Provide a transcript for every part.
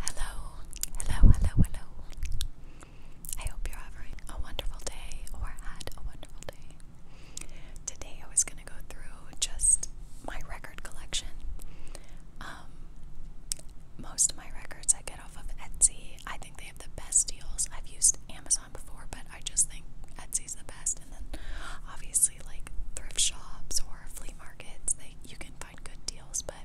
Hello, hello, hello, hello. I hope you're having a wonderful day or had a wonderful day. Today I was going to go through just my record collection. Um, most of my records I get off of Etsy. I think they have the best deals. I've used Amazon before, but I just think Etsy's the best. And then obviously, like thrift shops or flea markets, you can good deals, but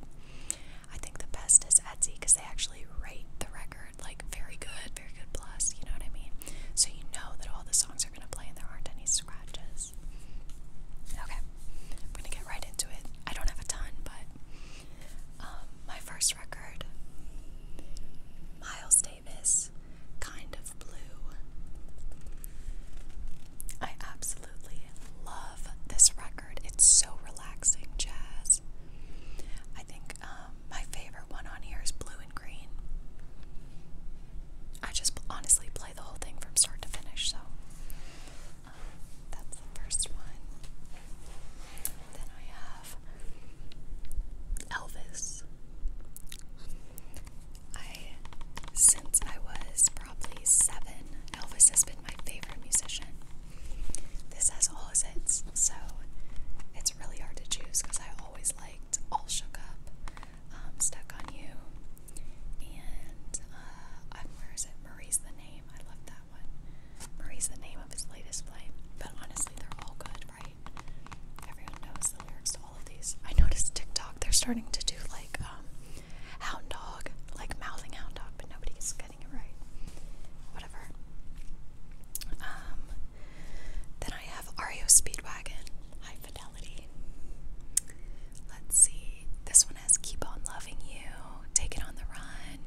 I think the best is Etsy because they actually rate the record like very good, very good plus, you know what I mean? So you know that all the songs are going to play and there aren't any scratches. Okay, I'm going to get right into it. I don't have a ton, but um, my first record, Miles Davis, Kind of Blue. I absolutely love this record. It's so relaxing jazz. I think um, my favorite one on here is Blue and Green. I just honestly play the whole thing from start to finish, so um, that's the first one. Then I have Elvis. I, since I was probably seven, Elvis has been my favorite musician. This has all his hits, so it's really hard to choose because I always liked All Shook Up, um, Stuck on You, and uh, where is it? Marie's the Name. I love that one. Marie's the name of his latest play, but honestly, they're all good, right? Everyone knows the lyrics to all of these. I noticed TikTok, they're starting to do like um, Hound dog, like mouthing hound dog, but nobody is getting it right. Whatever. Um, then I have Ario Speedwagon, High Fidelity. Let's see. This one has Keep On Loving You, Take It On The Run.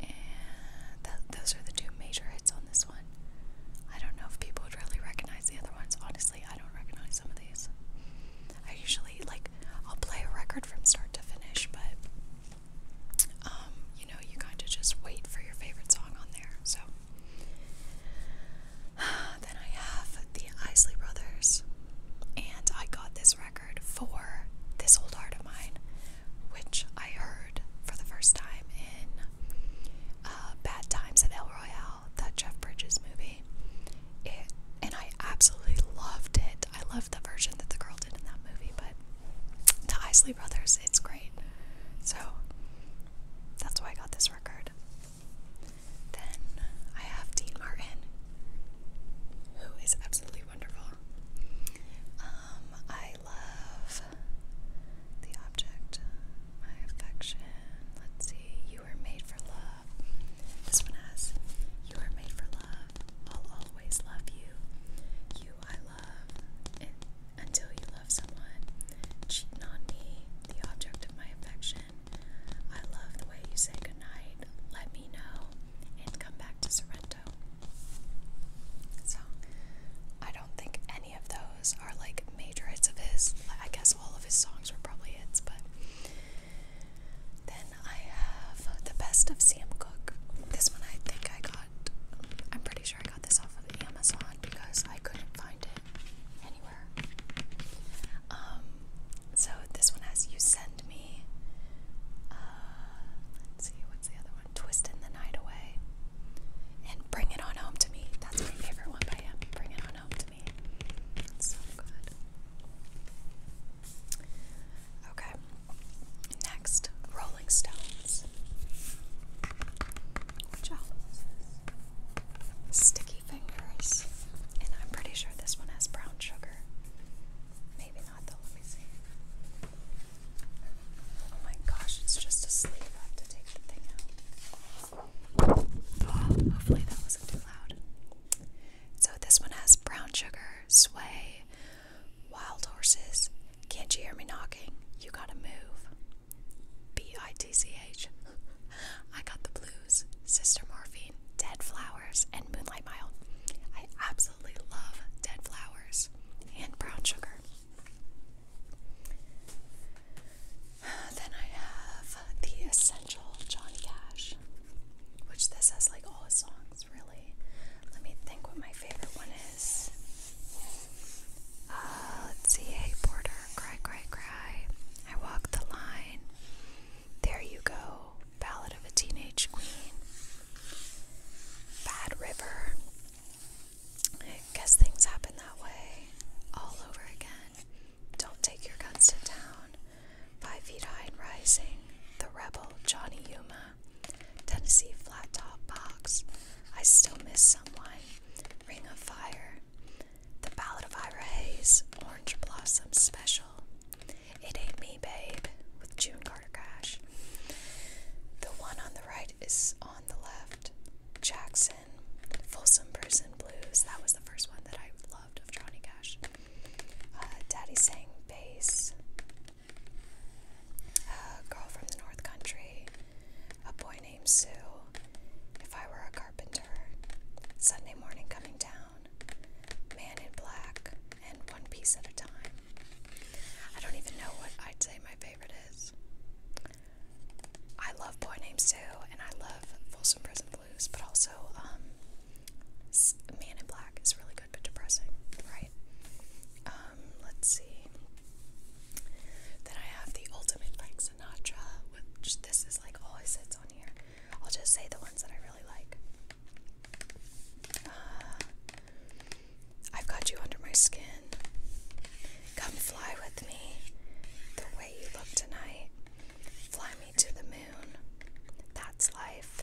And those are the two major hits on this one. I don't know if people would really recognize the other ones. Honestly, I don't recognize some of these. I usually like I'll play a record from start to finish, but um, you know, you kind of just wait for your favorite song on there. So then I have the Isley Brothers, and I got this record for this old art of mine, which I heard for the first time in uh, Bad Times in El that Jeff Bridges movie. It and I absolutely loved it. I loved the version that the girl did in that movie, but the Isley Brothers, it's great. So that's why I got this record. Then I have Dean Martin, who is absolutely wonderful. Um, I love The Object, My Affection. Let's see, You Were Made for Love. This one has, You are made for love. I'll always love you. You I love until you love someone. Cheat on me, the object of my affection. I love the way you say goodnight. Let me know and come back to Sorrento. So I don't think any of those are like major hits of his. I guess all of his songs were probably hits, but then I have the best of Sam Cooke. This one I think I got. I'm pretty sure I got this off of Amazon because I couldn't find it anywhere. Um, so this one has "You Send Me." Uh, let's see, what's the other one? "Twisting the Night Away," and "Bring It On Home to Me." That's my favorite one by him. "Bring It On Home to Okay. Next, Rolling Stones. Sticky Fingers. And I'm pretty sure this one has brown sugar. Maybe not though, let me see. Oh my gosh, it's just a sleeve. I have to take the thing out hopefully that wasn't too loud. So this one has brown sugar, sway, wild horses. Can't you hear me knocking? You gotta move. B I T C H. I got the blues, Sister Morphine, Dead Flowers, and Moonlight Mile. I absolutely love Dead Flowers and Brown Sugar. Then I have the Essential Johnny Cash, which this has like all his songs, really. Let me think what my favorite one is. Uh, let's see. Hey, Porter, cry, cry, cry. I walk the line. There you go. Ballad of a Teenage Queen. Bad River. guess things happen that way all over again. Don't take your guns to town. Five feet high and rising. The rebel Johnny Yuma. Tennessee flat top box. I still miss someone. Ring of fire. The ballad of Ira Hayes. Orange blossom special. It ain't me, babe. With June Carter Cash. The one on the right is on the left. Jack's Folsom Prison Blues. That was the first one that I loved of Johnny Cash. Uh, Daddy sang bass. Uh, Girl from the North Country. A boy named Sue. If I were a carpenter. Sunday morning coming down. Man in black. And one piece at a time. I don't even know what I'd say my favorite is. I love Boy Named Sue and I love Folsom Prison but also um, Man in Black is really good but depressing, right? Um, let's see. Then I have the Ultimate Frank Sinatra, which this is like always hits on here. I'll just say the ones that I really like. Uh, I've got you under my skin. Come fly with me. The way you look tonight. Fly me to the moon. That's life.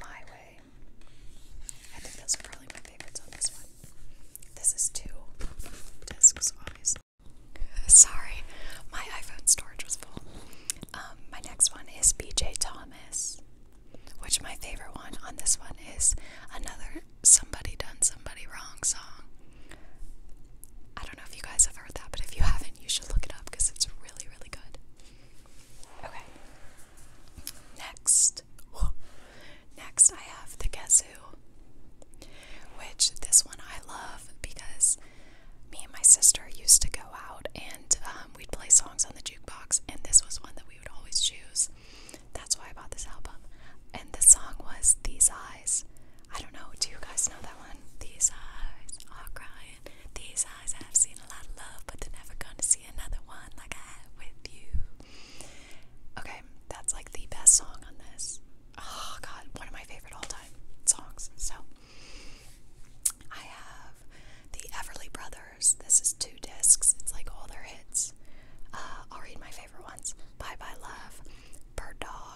My way. I think those are probably my favorites on this one. This is two discs, obviously. Sorry, my iPhone storage was full. Um, my next one is BJ Thomas, which my favorite one on this one is another Somebody Done Somebody Wrong song. I don't know if you guys have heard that, but if you haven't, you should look it up because it's really, really good. Okay. Next. Next, I have the Guess Who, which this one I love because me and my sister used to go out and um, we'd play songs on the jukebox, and this was one that we would always choose. That's why I bought this album. And the song was These Eyes I don't know, do you guys know that one? These eyes are oh, crying. These eyes have seen a lot of love, but they're never gonna see another one like I had with you. Okay, that's like the best song on this. Oh god, one of my favorite all time songs. So I have the Everly Brothers. This is two discs. It's like all their hits. Uh, I'll read my favorite ones. Bye Bye Love, Bird Dog.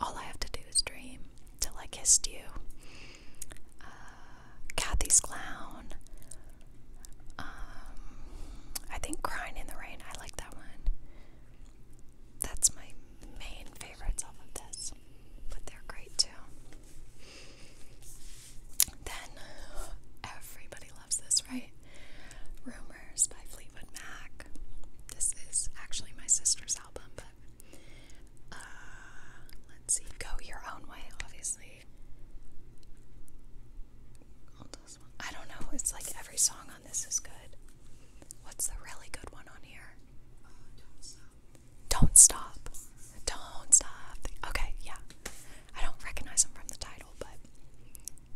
All I have to do is dream till I kissed you. Uh, Kathy's Clown. Um, I think Crying in the Rain. I like that one. That's my main favorites off of this, but they're great too. Then everybody loves this, right? Rumors by Fleetwood Mac. This is actually my sister's uh, let's see. Go Your Own Way, obviously. I don't know. It's like every song on this is good. What's the really good one on here? Uh, don't Stop. Don't Stop. Don't Stop. Okay, yeah. I don't recognize them from the title, but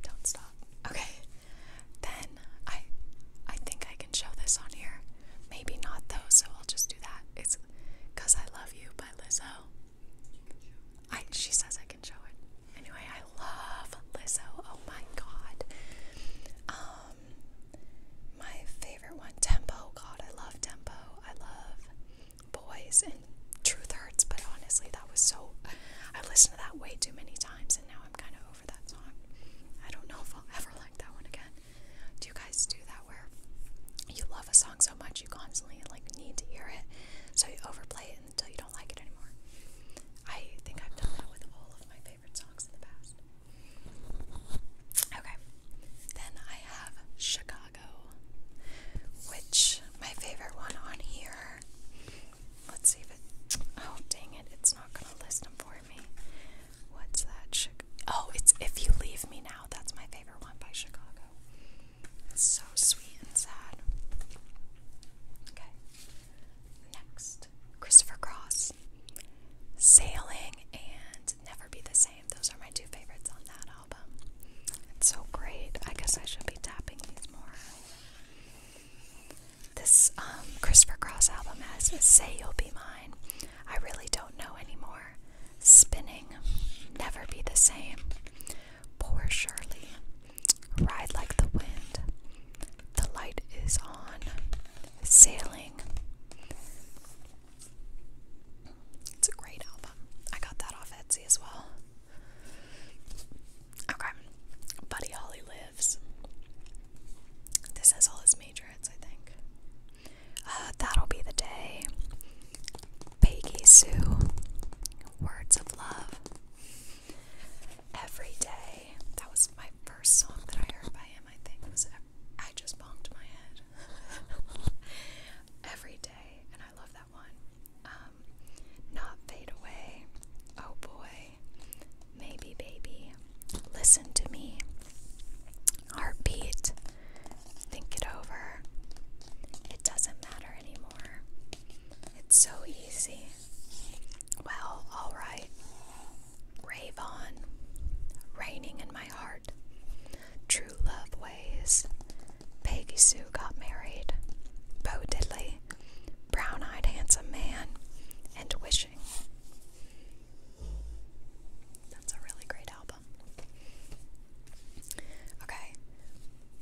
Don't Stop. Okay. Then I I think I can show this on here. Maybe not though, so I'll just do that. It's Cause I Love You by Lizzo. I she says I can show it. Anyway, I love Lizzo. Oh my god. Um my favorite one, Tempo. God, I love Tempo. I love Boys and Truth Hurts, but honestly that was so I listened to that way too many times and now I'm. I'm kind of over that song. I don't know if I'll ever like that one again. Do you guys do that where you love a song so much you constantly like need to hear it, so you overplay it until you don't like it anymore? I think I've done that with all of my favorite songs in the past. Okay, then I have Chicago, which my favorite one on here Let's see if it. Oh, dang it. It's not going to list them for me. What's that? Chica oh, it's If You Leave Me Now. That's my favorite one by Chicago. It's so sweet and sad. Okay. Next Christopher Cross. Sailing and Never Be the Same. Those are my two favorites on that album. It's so great. I guess I should be tapping these more. This um, Christopher Cross album has Say You'll Be Mine. I really don't know anymore. Spinning, Never Be the Same. Poor Shirley. Ride Like the Wind. The Light Is On. Sailing. It's a great album. I got that off Etsy as well. Okay. Buddy Holly this has all his major hits, I think. Uh, that'll Be the Day, Peggy Sue, Words of Love, Every Day. That was my first song that I heard by him, I think. was I just bonked my head. Every Day, and I love that one. Um, Not Fade Away, Oh Boy. Maybe, baby. Listen to me. Heartbeat. Think it over. It doesn't matter anymore. It's so easy. Well, alright. Rave on. Raining in my heart. True love ways. Peggy Sue got married. Bo Diddley. Brown eyed handsome man. And wishing. That's a really great album. Okay.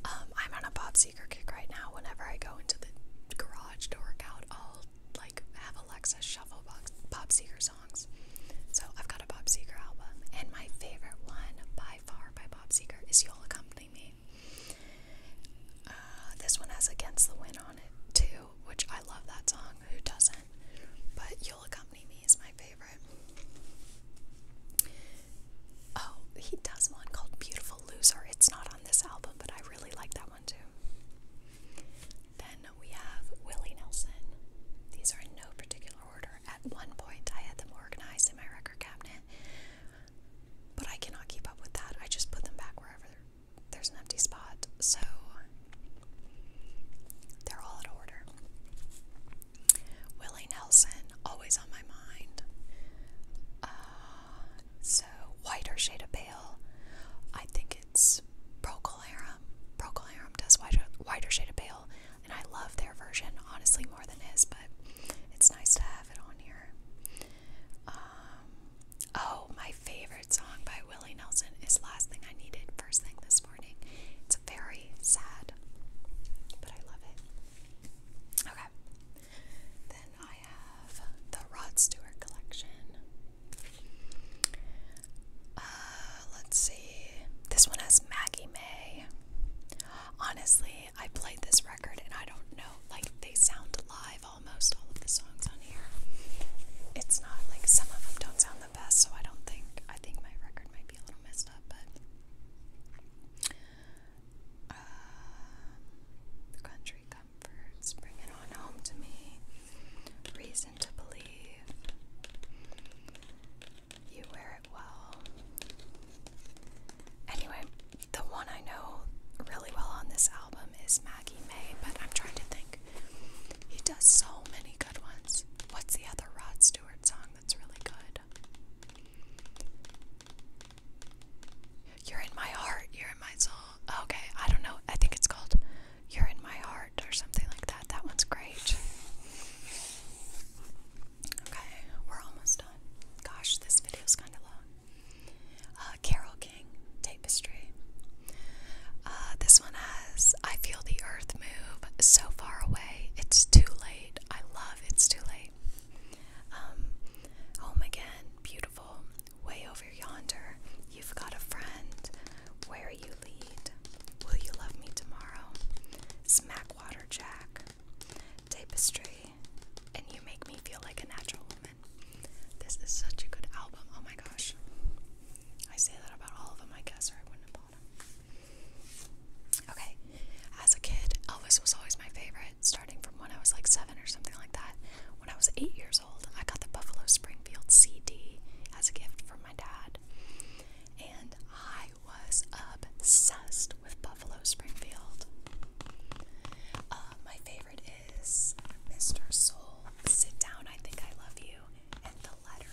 Um, I'm on a Bob Seeker kick right now. Whenever I go into the garage to work out, I'll like have Alexa shuffle Bob Seeker songs. So I've got a Bob Seeker album, and my favorite one by far by Bob Seeker is "You'll Accompany Me." Uh, this one has "Against the Wind" on it too, which I love that song. Who doesn't? But You'll Accompany Me is my favorite. Oh, he does one called Beautiful Loser. It's not on this album, but I really like that one too. Then we have Willie Nelson. These are in no particular order. At one point, I had them organized in my record cabinet, but I cannot keep up with that. I just put them back wherever there's an empty spot, so they're all in order. Willie Nelson, always on my mind. Uh, so, whiter shade of pale. I think it's Procol Harum. Procol Harum does whiter, whiter shade of pale, and I love their version, honestly, more than his, but it's nice to have it on here. Um, oh, my favorite song by Willie Nelson is Last Thing I Needed, First Thing This Morning. It's very sad, but I love it. Okay. Then I have the Rod Stewart collection. Uh, let's see. This one has Maggie May. Honestly, I played this record and I don't know, like, they sound live almost all of the songs on here. It's not like some of them don't sound the best, so I don't think I think my record might be a little messed up, but uh, country comforts, bring on home to me. Reason to believe. You wear it well. Anyway, the one I know really well on this album is Maggie May, but I'm trying to think. He does so many good ones. What's the other Rod Stewart song that's really good? You're in my heart, you're in my soul. Okay, I don't know. I think it's called You're in my heart or something like that. That one's great. Okay, we're almost done. Gosh, this video's kind of long. Uh, uh, Carol King tapestry. Uh, this one has I Feel the Earth Move So Far Away, It's Too Late. I love It's Too Late. Um, home Again, beautiful. Way over yonder, you've got a friend. Where you lead, will you love me tomorrow? Smackwater Jack, tapestry, and you make me feel like a natural woman. This is such a good album. Oh my gosh. I say that about all of them, I guess, or I wouldn't have bought them. Okay. As a kid, Elvis was always my favorite, starting from when I was like seven or something like that. When I was eight years old, I got the Buffalo Springfield CD as a gift from my dad. And I was obsessed with Buffalo Springfield. Uh, my favorite Mr. Soul, Sit Down, I Think I Love You, and The Letter.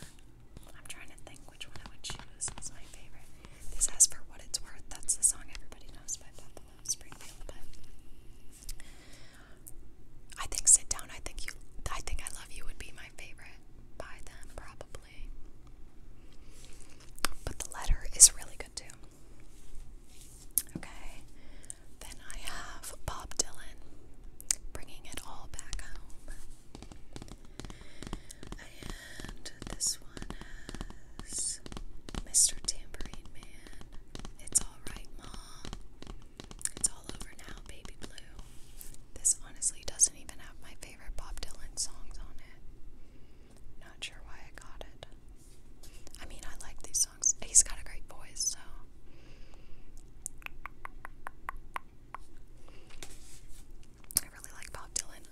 I'm trying to think which one I would choose. It's my favorite. This has For What It's Worth. That's the song everybody knows by Bethel Springfield, but I think Sit Down, I Think You I Think I Love You would be my favorite by them probably. But the letter is really good too. Okay, then I have Bob Dylan, bringing it all back home. And this one has Mr. Tambourine Man. It's alright, Mom. It's all over now, Baby Blue. This honestly doesn't even have my favorite Bob Dylan songs on it. Not sure why I got it. I mean, I like these songs. He's got a great voice, so. I really like Bob Dylan.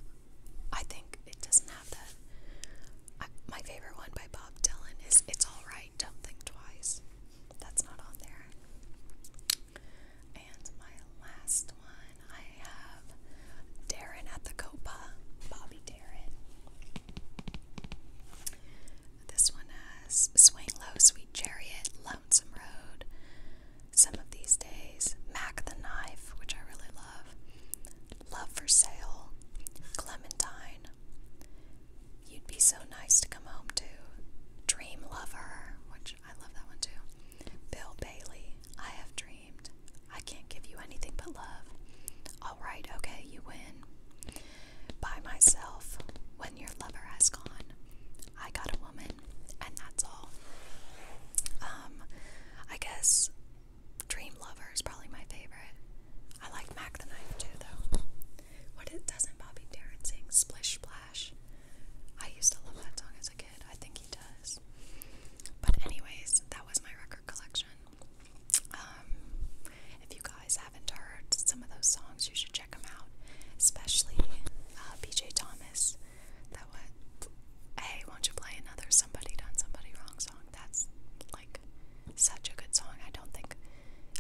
I think it doesn't have that. my favorite one by Bob Dylan is It's Alright, Don't Think Twice. That's not on there. And my last one, I have Darren at the Copa, Bobby Darren. This one has Swing Low, Sweet Chariot, Lonesome Road, Some of These Days, Mac the Knife, which I really love, Love for Sale, Clementine, You'd Be So Nice to Come Home To, Dream Lover, which I love that one too, Bill Bailey, I Have Dreamed, I Can't Give You Anything But Love, Alright, Okay, You Win by myself when your lover has gone. I got a woman, and that's all. Um, I guess Dream Lover is probably my favorite. I like Mac the Knife too, though. What it doesn't Bobby Darin sing? Splish Splash. I used to love that song as a kid. I think he does. But anyways, that was my record collection. Um, if you guys haven't heard some of those songs, you should check them out, especially uh, BJ Thomas. That what? Hey, won't you play another "Somebody Done Somebody Wrong" song? That's like such a good song. I don't think,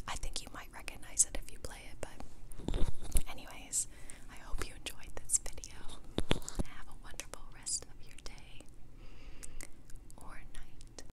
I think you might recognize it if you play it. But, anyways, I hope you enjoyed this video. Have a wonderful rest of your day or night.